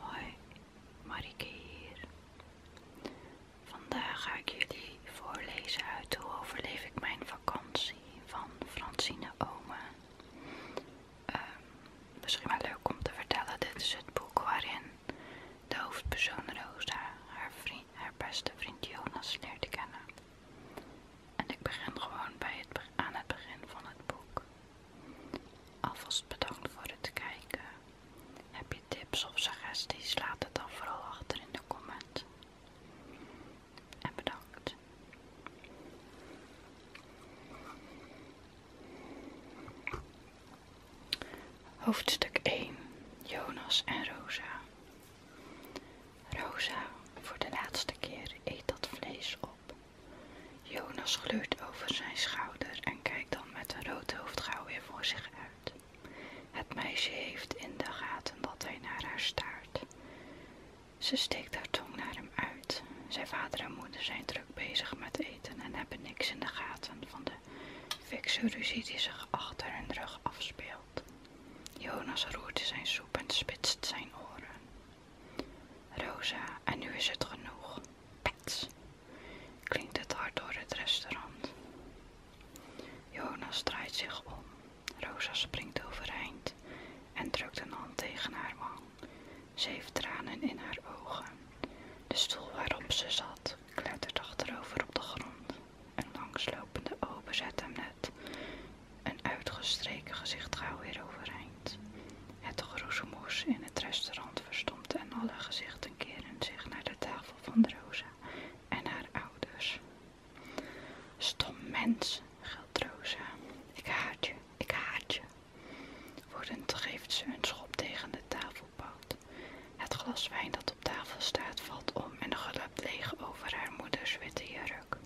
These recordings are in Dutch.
Hoi, Marike hier. Vandaag ga ik jullie voorlezen uit Hoe overleef ik mijn vakantie van Francine Oma. Ehm, misschien wel leuk om te vertellen, dit is het boek waarin de hoofdpersoon Rosa haar, beste vriend Jonas leert kennen. En ik begin gewoon aan het begin van het boek. Alvast bedankt voor het kijken. Heb je tips of suggesties? Laat het dan vooral achter in de comment. En bedankt. Hoofdstuk 1. Jonas en Rosa. Rosa, voor de laatste keer eet dat vlees op. Jonas gluurt over zijn schouder en kijkt dan met een rood gauw weer voor zich uit. Het meisje heeft in de gaten dat hij naar haar staart. Ze steekt haar tong naar hem uit. Zijn vader en moeder zijn druk bezig met eten en hebben niks in de gaten van de fikse ruzie die zich achter hun rug afspeelt. Jonas roert zijn soep en spitst zijn oren. Rosa, en nu is het genoeg. Pats. klinkt het hard door het restaurant. Jonas strijdt zich om. Rosa springt overeind en drukt een hand tegen haar wang. Ze heeft tranen in haar ogen. De stoel waarop ze zat klettert achterover op de grond. Een langslopende open zet hem net. Een uitgestreken gezicht gauw weer overeind. Het geroezemoes in het restaurant verstomt en alle gezichten keren zich naar de tafel van Rosa en haar ouders. Stom mens, gilt Rosa. Ik haat je, ik haat je. Wordend geeft ze een schop tegen de tafelpoot. Het glas wijn dat op tafel staat valt om en glupt leeg over haar moeders witte jurk.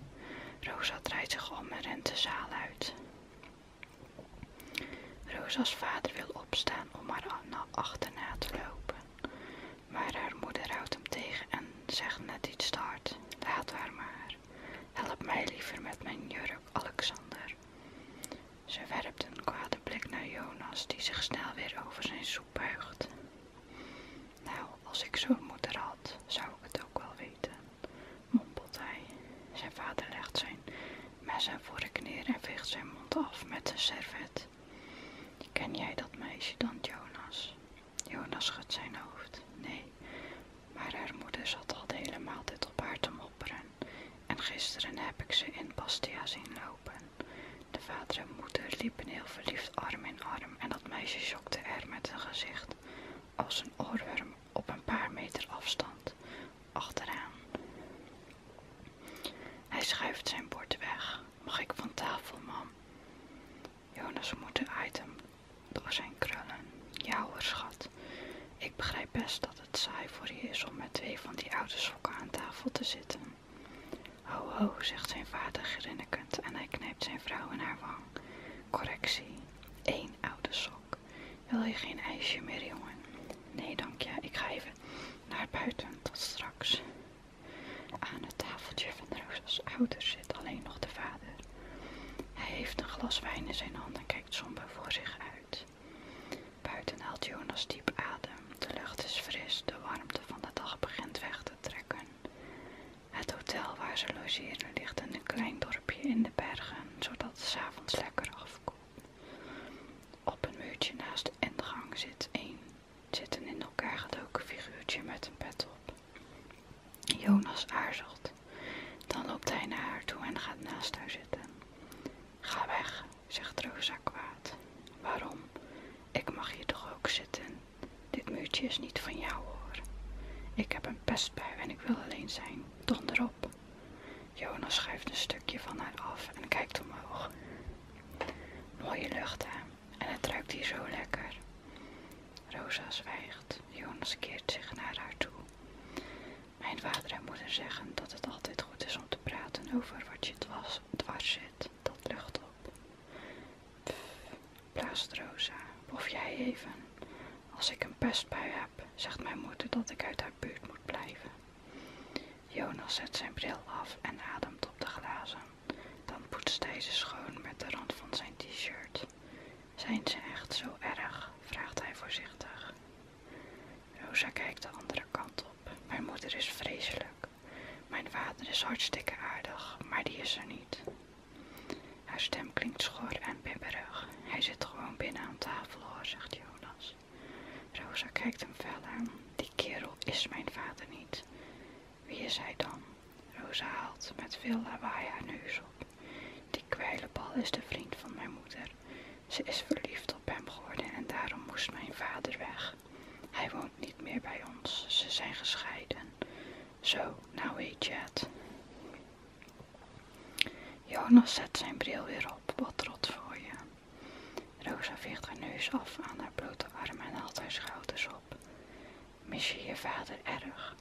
Rosa draait zich om en rent de zaal uit. Rosa's vader wil opstaan om haar achterna te lopen, maar haar moeder houdt hem tegen en zegt net iets te hard. Laat haar maar. Help mij liever met mijn jurk, Alexander. Ze werpt een kwade blik naar Jonas, die zich snel weer over zijn soep buigt. Nou, als ik zo'n moeder had zou ik het ook wel weten, mompelt hij. Zijn vader legt zijn mes en voor de neer en veegt zijn mond af met een servet. Ken jij dat meisje dan, Jonas? Jonas schudt zijn hoofd. Nee, maar haar moeder zat al de hele maaltijd op haar te mopperen. En gisteren heb ik ze in Bastia zien lopen. De vader en moeder liepen heel verliefd arm in arm en dat meisje schokte er met een gezicht als een oorworm op een paar meter afstand achteraan. Hij schuift zijn bord weg. Mag ik van tafel, mam? Jonas moet de item door zijn krullen. Ja schat. Ik begrijp best dat het saai voor je is om met twee van die oude sokken aan tafel te zitten. Ho ho, zegt zijn vader grinnikend en hij knijpt zijn vrouw in haar wang. Correctie, Eén oude sok. Wil je geen ijsje meer, jongen? Nee, dank je. Ik ga even naar buiten. Tot straks. Aan het tafeltje van de ouder zit alleen nog de vader. Hij heeft een glas wijn in zijn hand en kijkt somber voor zich uit. Buiten haalt Jonas diep adem. De lucht is fris, de warmte van de dag begint weg te trekken. Het hotel waar ze logeren ligt in een klein dorp in de bergen, zodat het avonds lekker afkoelt. Op een muurtje naast de ingang zit een, zitten in elkaar gedoken figuurtje met een pet op. Jonas aarzelt. Dan loopt hij naar haar toe en gaat naast haar zitten. Ga weg, zegt Rosa kwaad. Waarom? Ik mag hier toch ook zitten? Dit muurtje is niet van jou hoor. Ik heb een pest en ik wil alleen zijn. Donder op. Jonas schuift een stukje van haar af en kijkt omhoog. Mooie lucht, hè? En het ruikt hier zo lekker. Rosa zwijgt. Jonas keert zich naar haar toe. Mijn vader en moeder zeggen dat het altijd goed is om te praten over wat je dwars, dwars zit. Dat lucht op. blaast Rosa. Of jij even. Als ik een pestbui heb, zegt mijn moeder dat ik uit haar buurt moet blijven. Jonas zet zijn bril af en ademt op de glazen. Dan poetst hij ze schoon met de rand van zijn t-shirt. Zijn ze echt zo erg? vraagt hij voorzichtig. Rosa kijkt de andere kant op. Mijn moeder is vreselijk. Mijn vader is hartstikke aardig, maar die is er niet. Haar stem klinkt schor en bibberig. Hij zit gewoon binnen aan tafel hoor, zegt Jonas. Rosa kijkt hem fel aan. Die kerel is mijn vader niet. Wie is hij dan? Rosa haalt met veel lawaai haar neus op. Die kwijlenbal is de vriend van mijn moeder. Ze is verliefd op hem geworden en daarom moest mijn vader weg. Hij woont niet meer bij ons. Ze zijn gescheiden. Zo, nou weet je het. Jonas zet zijn bril weer op, wat rot voor je. Rosa veegt haar neus af aan haar blote arm en haalt haar schouders op. Mis je je vader erg?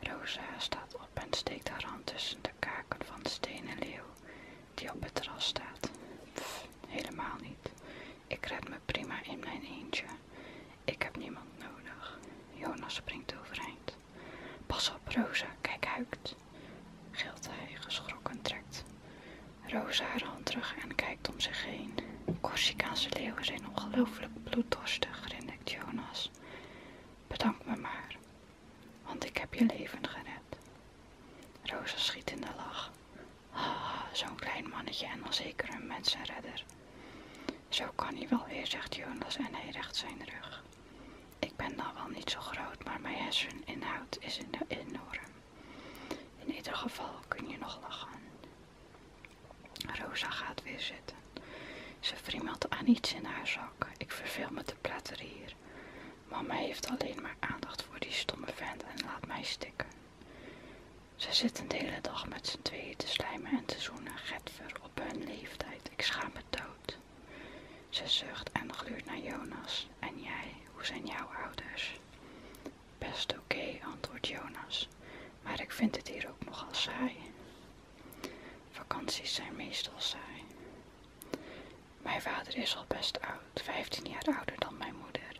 Rosa staat op en steekt haar hand tussen de kaken van de stenen leeuw die op het terras staat. helemaal niet. Ik red me prima in mijn eentje. Ik heb niemand nodig. Jonas springt overeind. Pas op, Rosa, kijk huikt. Gilt hij, geschrokken trekt. Rosa haar hand terug en kijkt om zich heen. Corsicaanse leeuwen zijn ongelooflijk bloeddorstig, grinnikt Jonas. Bedank me maar, want ik heb je leven gered. Rosa schiet in de lach. Ah, zo'n klein mannetje en al zeker een mensenredder. Zo kan hij wel weer, zegt Jonas en hij recht zijn rug. Ik ben dan nou wel niet zo groot, maar mijn herseninhoud is enorm. In ieder geval kun je nog lachen. Rosa gaat weer zitten. Ze friemelt aan iets in haar zak. Ik verveel me te platteren hier. Mama heeft alleen maar aandacht voor die stomme vent en laat mij stikken. Ze zit een hele dag met z'n tweeën te slijmen en te zoenen, getver op hun leeftijd. Ik schaam me dood. Ze zucht en gluurt naar Jonas. En jij, hoe zijn jouw ouders? Best oké, antwoordt Jonas. Maar ik vind het hier ook nogal saai. Vakanties zijn meestal saai. Mijn vader is al best oud, 15 jaar ouder dan mijn moeder.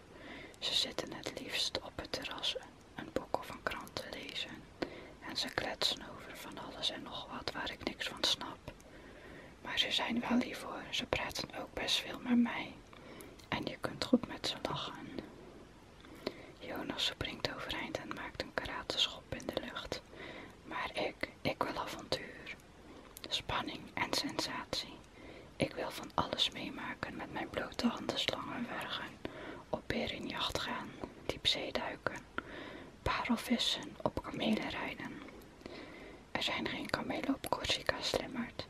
Ze zitten het liefst op het terras een boek of een krant lezen. En ze kletsen over van alles en nog wat waar ik niks van snap. Maar ze zijn wel lief hoor, ze praten ook best veel met mij. En je kunt goed met ze lachen. Jonas springt overeind en maakt een schop in de lucht. Maar ik, ik wil avontuur. Spanning en sensatie. Ik wil van alles meemaken met mijn blote handen slangen op berenjacht gaan, diepzee duiken, parelvissen, op kamelen rijden. Er zijn geen kamelen op Corsica, slimmerd.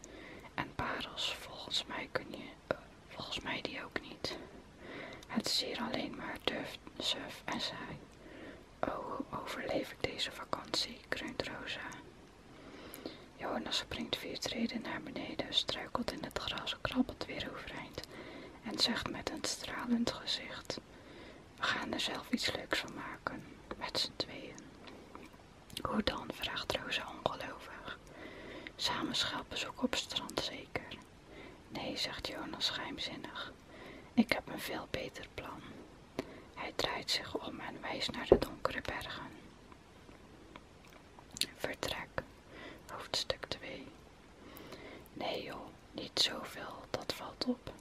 En parels, volgens mij kun je, eh, volgens mij die ook niet. Het is hier alleen maar duft, surf en saai. Oh, overleef ik deze vakantie, kreunt Rosa. Jonas springt vier treden naar beneden, struikelt in het gras, krabbelt weer overeind en zegt met een stralend gezicht: We gaan er zelf iets leuks van maken, met z'n tweeën. Hoe dan? vraagt Rosa ongelovig. Samen op strand zeker. Nee, zegt Jonas geheimzinnig. Ik heb een veel beter plan. Hij draait zich om en wijst naar de donkere bergen. Vertrek, hoofdstuk 2. Nee joh, niet zoveel, dat valt op.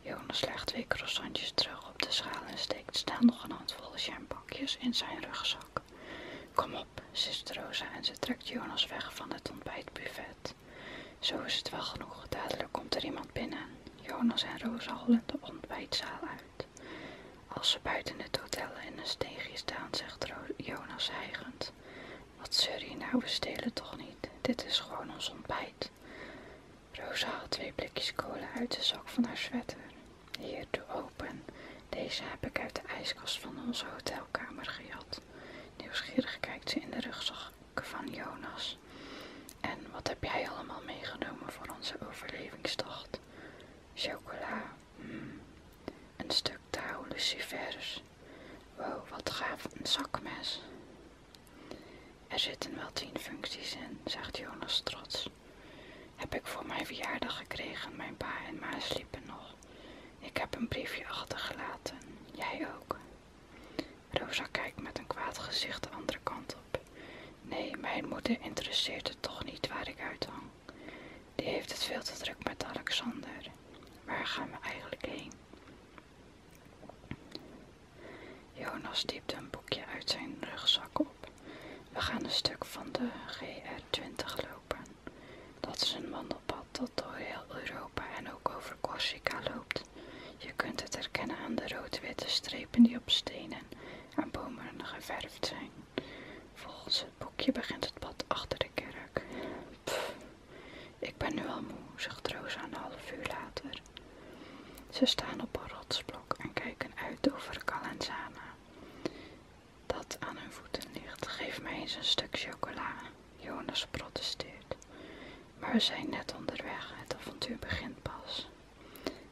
Jonas legt twee croissantjes terug op de schaal en steekt staan nog een handvol champakjes in zijn rugzak. Kom op, zist Rosa en ze trekt Jonas weg van het ontbijtbuffet. Zo is het wel genoeg, dadelijk komt er iemand binnen. Jonas en Rosa hollen de ontbijtzaal uit. Als ze buiten het hotel in een steegje staan, zegt Jonas hijgend wat zeur nou, we stelen toch niet. Dit is gewoon ons ontbijt. Rosa haalt twee blikjes kolen uit de zak van haar sweater. Hier, doe open. Deze heb ik uit de ijskast van onze hotelkamer gejat. Nieuwsgierig kijkt ze in de rugzak van Jonas. En wat heb jij allemaal meegenomen voor onze overlevingstocht? Chocola, mm, een stuk touw, lucifers, Wauw, Wow, wat gaaf, een zakmes. Er zitten wel tien functies in, zegt Jonas trots. Heb ik voor mijn verjaardag gekregen, mijn pa en ma sliepen nog. Ik heb een briefje achtergelaten, jij ook. Rosa kijkt met een kwaad gezicht de andere kant op. Nee, mijn moeder interesseert het toch niet waar ik uit die heeft het veel te druk met Alexander. Waar gaan we eigenlijk heen? Jonas diepte een boekje uit zijn rugzak op. We gaan een stuk van de GR20 lopen. Dat is een wandelpad dat door heel Europa en ook over Corsica loopt. Je kunt het herkennen aan de rood-witte strepen die op stenen en bomen geverfd zijn. Volgens het boekje begint het pad achter de kerk ik ben nu al moe, zegt Rosa een half uur later. Ze staan op een rotsblok en kijken uit over Calenzana. Dat aan hun voeten ligt, geef mij eens een stuk chocola. Jonas protesteert. Maar we zijn net onderweg, het avontuur begint pas.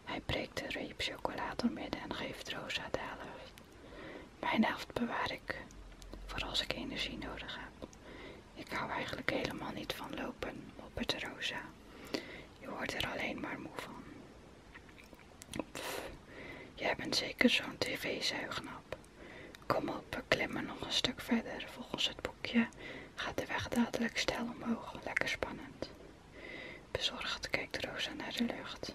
Hij breekt de reep chocolade door midden en geeft Rosa de helft. Mijn helft bewaar ik voor als ik energie nodig heb. Ik hou eigenlijk helemaal niet van lopen, het Rosa. Je wordt er alleen maar moe van. Pff, jij bent zeker zo'n tv-zuignap. Kom op, we klimmen nog een stuk verder. Volgens het boekje gaat de weg dadelijk stijl omhoog. Lekker spannend. Bezorgd kijkt Rosa naar de lucht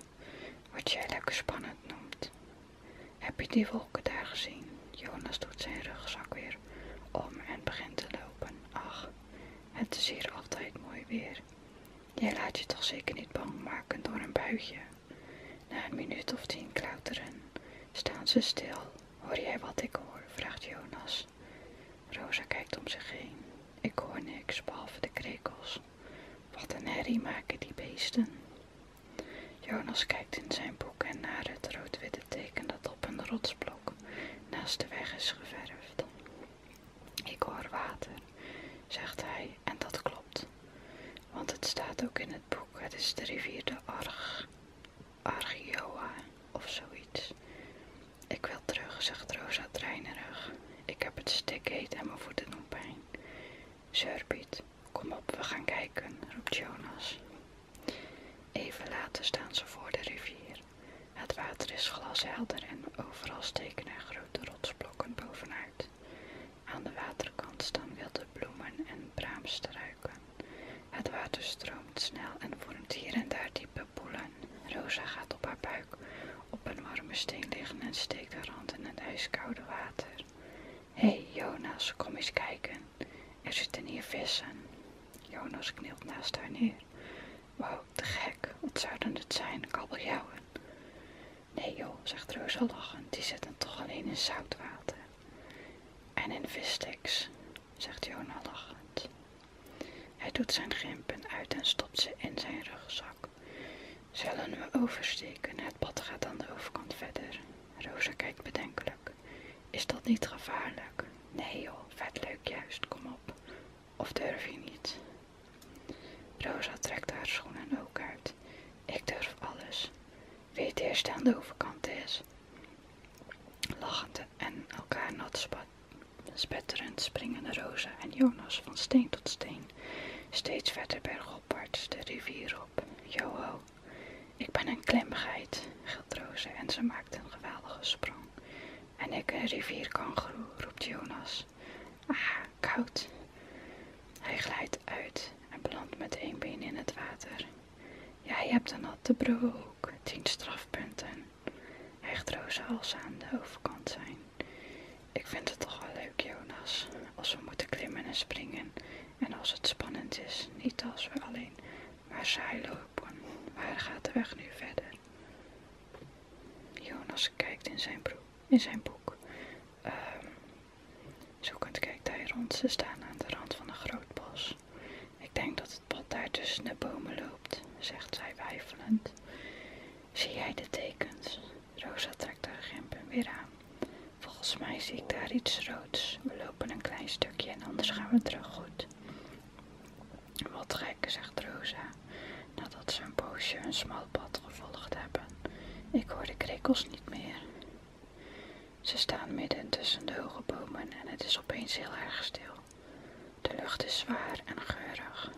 wat jij lekker spannend noemt. Heb je die wolken daar gezien? Jonas doet zijn rugzak weer om en begint te lopen. Ach, het is hier altijd mooi weer. Jij laat je toch zeker niet bang maken door een buitje? Na een minuut of tien klauteren staan ze stil. Hoor jij wat ik hoor? vraagt Jonas. Rosa kijkt om zich heen. Ik hoor niks behalve de krekels. Wat een herrie maken die beesten. Jonas kijkt in zijn boek en naar het rood-witte teken dat op een rotsblok naast de weg is geverfd. Ik hoor water, zegt hij, en dat klopt. Want het staat ook in het boek, het is de rivier de Arg, Argioa of zoiets. Ik wil terug, zegt Rosa treinerig. Ik heb het stik en mijn voeten doen pijn. Zerbit, kom op, we gaan kijken, roept Jonas. Even later staan ze voor de rivier. Het water is glashelder en overal steken er grote rotsblokken bovenuit. Aan de waterkant staan wilde bloemen en braamstruiken. Het water stroomt snel en vormt hier en daar diepe poelen. Rosa gaat op haar buik op een warme steen liggen en steekt haar hand in het ijskoude water. Hé Jonas, kom eens kijken. Er zitten hier vissen. Jonas knielt naast haar neer. Wauw, te gek. Wat zouden het zijn? Kabeljauwen. Nee joh, zegt Rosa lachend. Die zitten toch alleen in zoutwater. En in vissticks, zegt Jonas lachend. Hij doet zijn grimpen uit en stopt ze in zijn rugzak. Zullen we oversteken? Het pad gaat aan de overkant verder. Rosa kijkt bedenkelijk. Is dat niet gevaarlijk? Nee joh, vet leuk juist, kom op. Of durf je niet? Rosa trekt haar schoenen ook uit. Ik durf alles. Weet eerst aan de overkant is. Lachend en elkaar nat spetterend springen Rosa en Jonas van steen tot steen. Steeds verder bergopwaarts de rivier Joho, ik ben een klimgeit, gilt en ze maakt een geweldige sprong. En ik een rivierkangeroe, roept Jonas. Ah, koud. Hij glijdt uit en belandt met één been in het water. Jij hebt een natte broek, tien strafpunten. Hecht Roze als ze aan de overkant zijn. Ik vind het toch wel leuk, Jonas, als we moeten klimmen en springen. En als het spannend is, niet als we alleen maar saai lopen. Waar gaat de weg nu verder? Jonas kijkt in zijn, boek. Zo ehm, zoekend kijkt hij rond. Ze staan aan de rand van een groot bos. Ik denk dat het pad daar tussen de bomen loopt, zegt zij weifelend. Zie jij de tekens? Rosa trekt haar gempen weer aan. Volgens mij zie ik daar iets roods. We lopen een klein stukje en anders gaan we terug goed. Wat gek, zegt Rosa, nadat ze een poosje een smal pad gevolgd hebben. Ik hoor de krekels niet meer. Ze staan midden tussen de hoge bomen en het is opeens heel erg stil. De lucht is zwaar en geurig.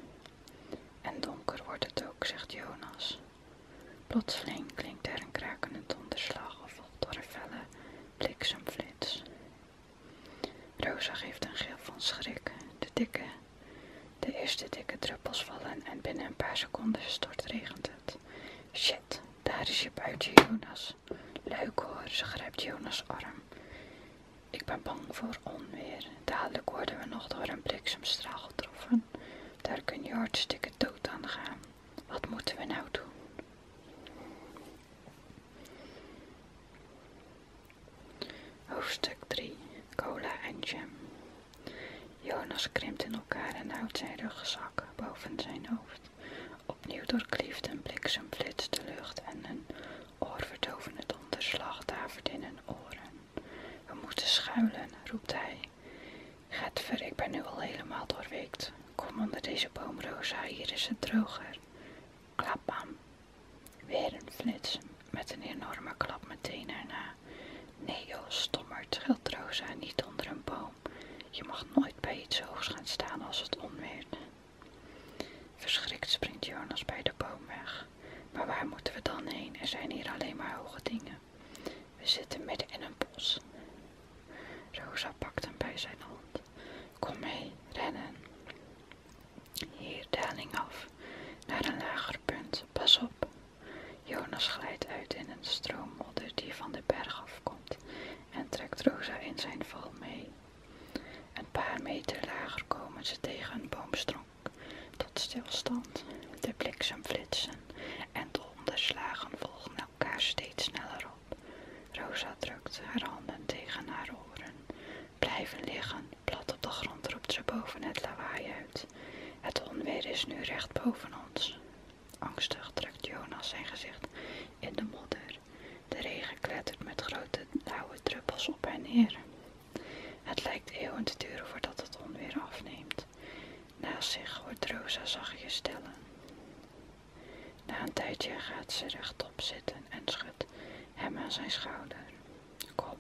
En donker wordt het ook, zegt Jonas. Plotseling klinkt er een krakenend donderslag gevolgd door een felle bliksemflits. Rosa geeft een gil van schrik. De dikke, de eerste dikke druppels vallen en binnen een paar seconden stort regent het. Shit, daar is je buitje, Jonas. Leuk hoor, ze grijpt Jonas' arm. Ik ben bang voor onweer. Dadelijk worden we nog door een bliksemstraal getroffen daar kun je hartstikke dood aan gaan. Wat moeten we nou doen? Hoofdstuk 3 Cola en jam. Jonas krimpt in elkaar en houdt zijn rugzak boven zijn hoofd. Opnieuw doorklieft een bliksem de lucht en een oorverdovende donderslag davert in hun oren. We moeten schuilen, roept hij. Getver, ik ben nu al helemaal doorweekt. Kom onder deze boom, Rosa, hier is het droger. Klapam. Weer een flits, met een enorme klap meteen erna. Nee joh, stommerd, gilt Rosa, niet onder een boom. Je mag nooit bij iets hoogs gaan staan als het onweert. Verschrikt springt Jonas bij de boom weg. Maar waar moeten we dan heen? Er zijn hier alleen maar hoge dingen. We zitten midden in een bos. Rosa pakt hem bij zijn hand. Kom mee, rennen. Hier, daling af. Naar een lager punt. Pas op. Jonas glijdt uit in een stroommodder die van de berg afkomt en trekt Rosa in zijn val mee. Een paar meter lager komen ze tegen een boomstronk tot stilstand. De bliksem flitsen en de onderslagen volgen elkaar steeds sneller op. Rosa drukt haar handen tegen haar oren. Blijven liggen, plat op de grond roept ze boven het lawaai uit. Het onweer is nu recht boven ons. Angstig trekt Jonas zijn gezicht in de modder. De regen klettert met grote nauwe druppels op en neer. Het lijkt eeuwen te duren voordat het onweer afneemt. Naast nou, zich hoort Rosa zachtjes stellen. Na een tijdje gaat ze rechtop zitten en schudt hem aan zijn schouder. Kom,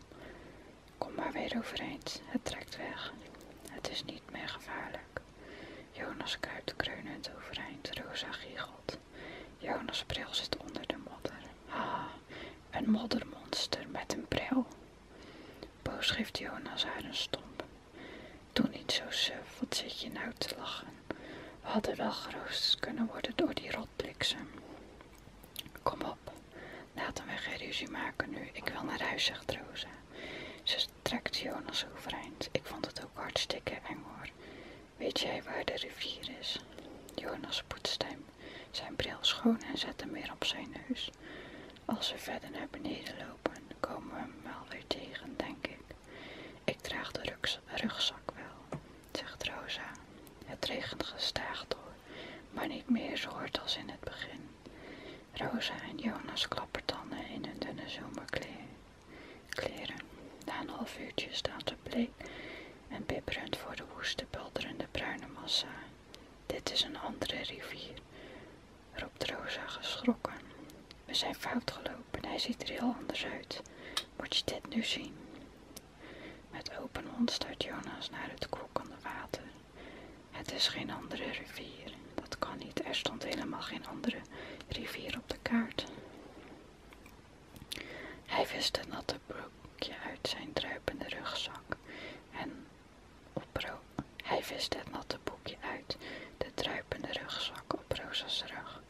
kom maar weer overeind. Het trekt weg. Het is niet meer gevaarlijk. Jonas kruipt kreunend overeind. Rosa giechelt. Jonas' bril zit onder de modder. Ah, een moddermonster met een bril. Boos geeft Jonas haar een stomp. Toen niet zo suf, wat zit je nou te lachen? We hadden wel geroosterd kunnen worden door die rotbliksem. Kom op, laten we geen ruzie maken nu. Ik wil naar huis, zegt Rosa. Ze trekt Jonas overeind. Ik vond het ook hartstikke eng hoor. Weet jij waar de rivier is? Jonas poetst hem zijn bril schoon en zet hem weer op zijn neus. Als we verder naar beneden lopen, komen we hem wel weer tegen, denk ik. Ik draag de rugzak wel, zegt Rosa. Het regent gestaag door, maar niet meer zo hard als in het begin. Rosa en Jonas klappertanden in hun dunne zomerkleren. Na een half uurtje staan ze bleek en bibberend voor de woeste, bulderende bruine massa. Dit is een andere rivier, roept Rosa geschrokken. We zijn fout gelopen, hij ziet er heel anders uit. Moet je dit nu zien? Met open mond staart Jonas naar het kokkende water. Het is geen andere rivier. Dat kan niet, er stond helemaal geen andere rivier op de kaart. Hij wist de natte broekje uit zijn druipende rugzak en op Hij vist het natte boekje uit, de druipende rugzak op Rosa's rug.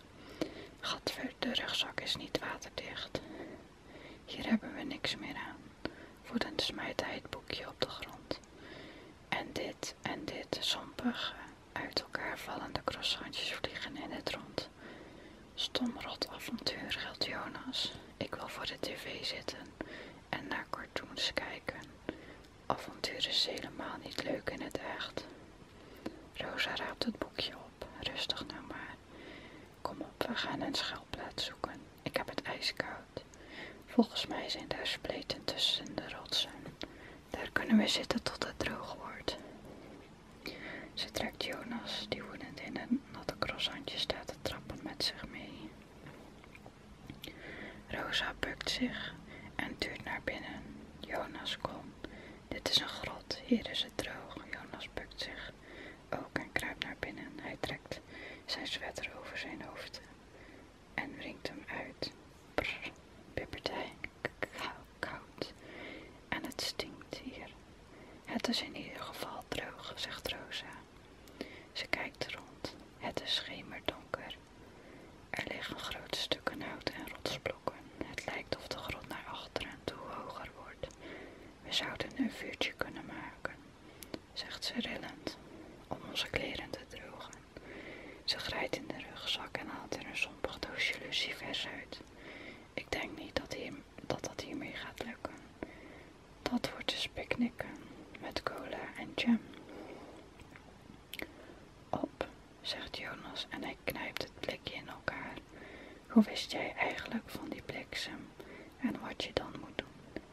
Gadver, de rugzak is niet waterdicht. Hier hebben we niks meer aan. Woedend smijt hij het boekje op de grond. En dit en dit, sompige, uit elkaar vallende croissantjes vliegen in het rond. Stomrot avontuur, geldt Jonas. Ik wil voor de tv zitten en naar cartoons kijken. Avonturen is helemaal niet leuk in het echt. Rosa raapt het boekje op. Rustig nou maar. Kom op, we gaan een schuilplaats zoeken. Ik heb het ijskoud. Volgens mij zijn daar spleten tussen de rotsen. Daar kunnen we zitten tot het droog wordt. Ze trekt Jonas, die woedend in een natte croissantje staat te trappen, met zich mee. Rosa bukt zich en duurt naar binnen. Jonas, kom. Dit is een grot, hier is het droog. Jonas bukt zich ook en kruipt naar binnen. Hij trekt zijn sweater over zijn hoofd en wringt hem uit. Brr, bibbert hij. Koud. En het stinkt hier. Het is in ieder geval droog, zegt Rosa. Ze kijkt rond. Het is schemerdonker. Er liggen grote stukken hout en rotsblokken. Het lijkt of de grot naar achteren toe hoger wordt. We zouden een vuurtje kunnen maken, zegt ze rillend, om onze kleren te drogen. Ze grijpt in de rugzak en haalt er een sompig doosje lucifers uit. Ik denk niet dat, dat dat hiermee gaat lukken. Dat wordt dus picknicken met cola en jam. Op, zegt Jonas en hij knijpt het blikje in elkaar. Hoe wist jij eigenlijk van die bliksem en wat je dan moet doen?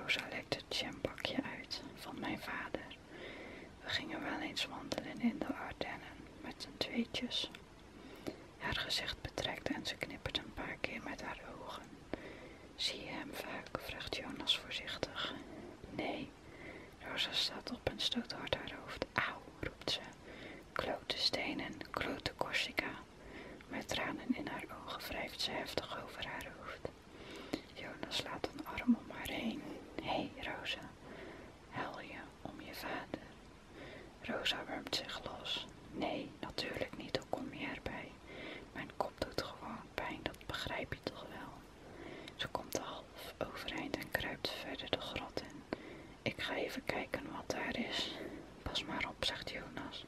Rosa lekt het jampakje uit van mijn vader. We gingen wel eens wandelen in de Ardennen met z'n tweetjes. Haar gezicht betrekt en ze knippert een paar keer met haar ogen. Zie je hem vaak? vraagt Jonas voorzichtig. Nee. Rosa staat op en stoot hard haar hoofd. Auw, roept ze. Klote stenen, klote Corsica. Met tranen in haar ogen wrijft ze heftig over haar hoofd. Jonas laat een arm om haar heen. Hé, hey, Rosa, huil je om je vader? Rosa wurmt zich los. Nee, natuurlijk niet, hoe kom je erbij? Mijn kop doet gewoon pijn, dat begrijp je toch wel. Ze komt half overeind en kruipt verder de grot in. Ik ga even kijken wat daar is. Pas maar op, zegt Jonas.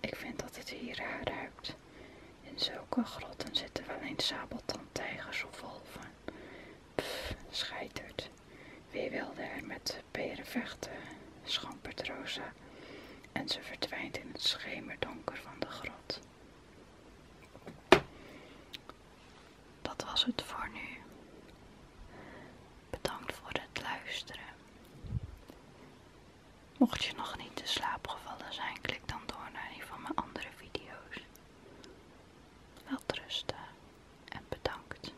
Ik vind dat het hier ruikt. In zulke grotten zitten wel eens sabeltandtijgers of wolven. Pff, scheitert. Wie wilde er met peren vechten? Schampert en ze verdwijnt in het schemerdonker van de grot. Dat was het voor nu. Bedankt voor het luisteren. Mocht je nog niet in slaap gevallen zijn, klik dan door naar een van mijn andere video's. Welterusten en bedankt.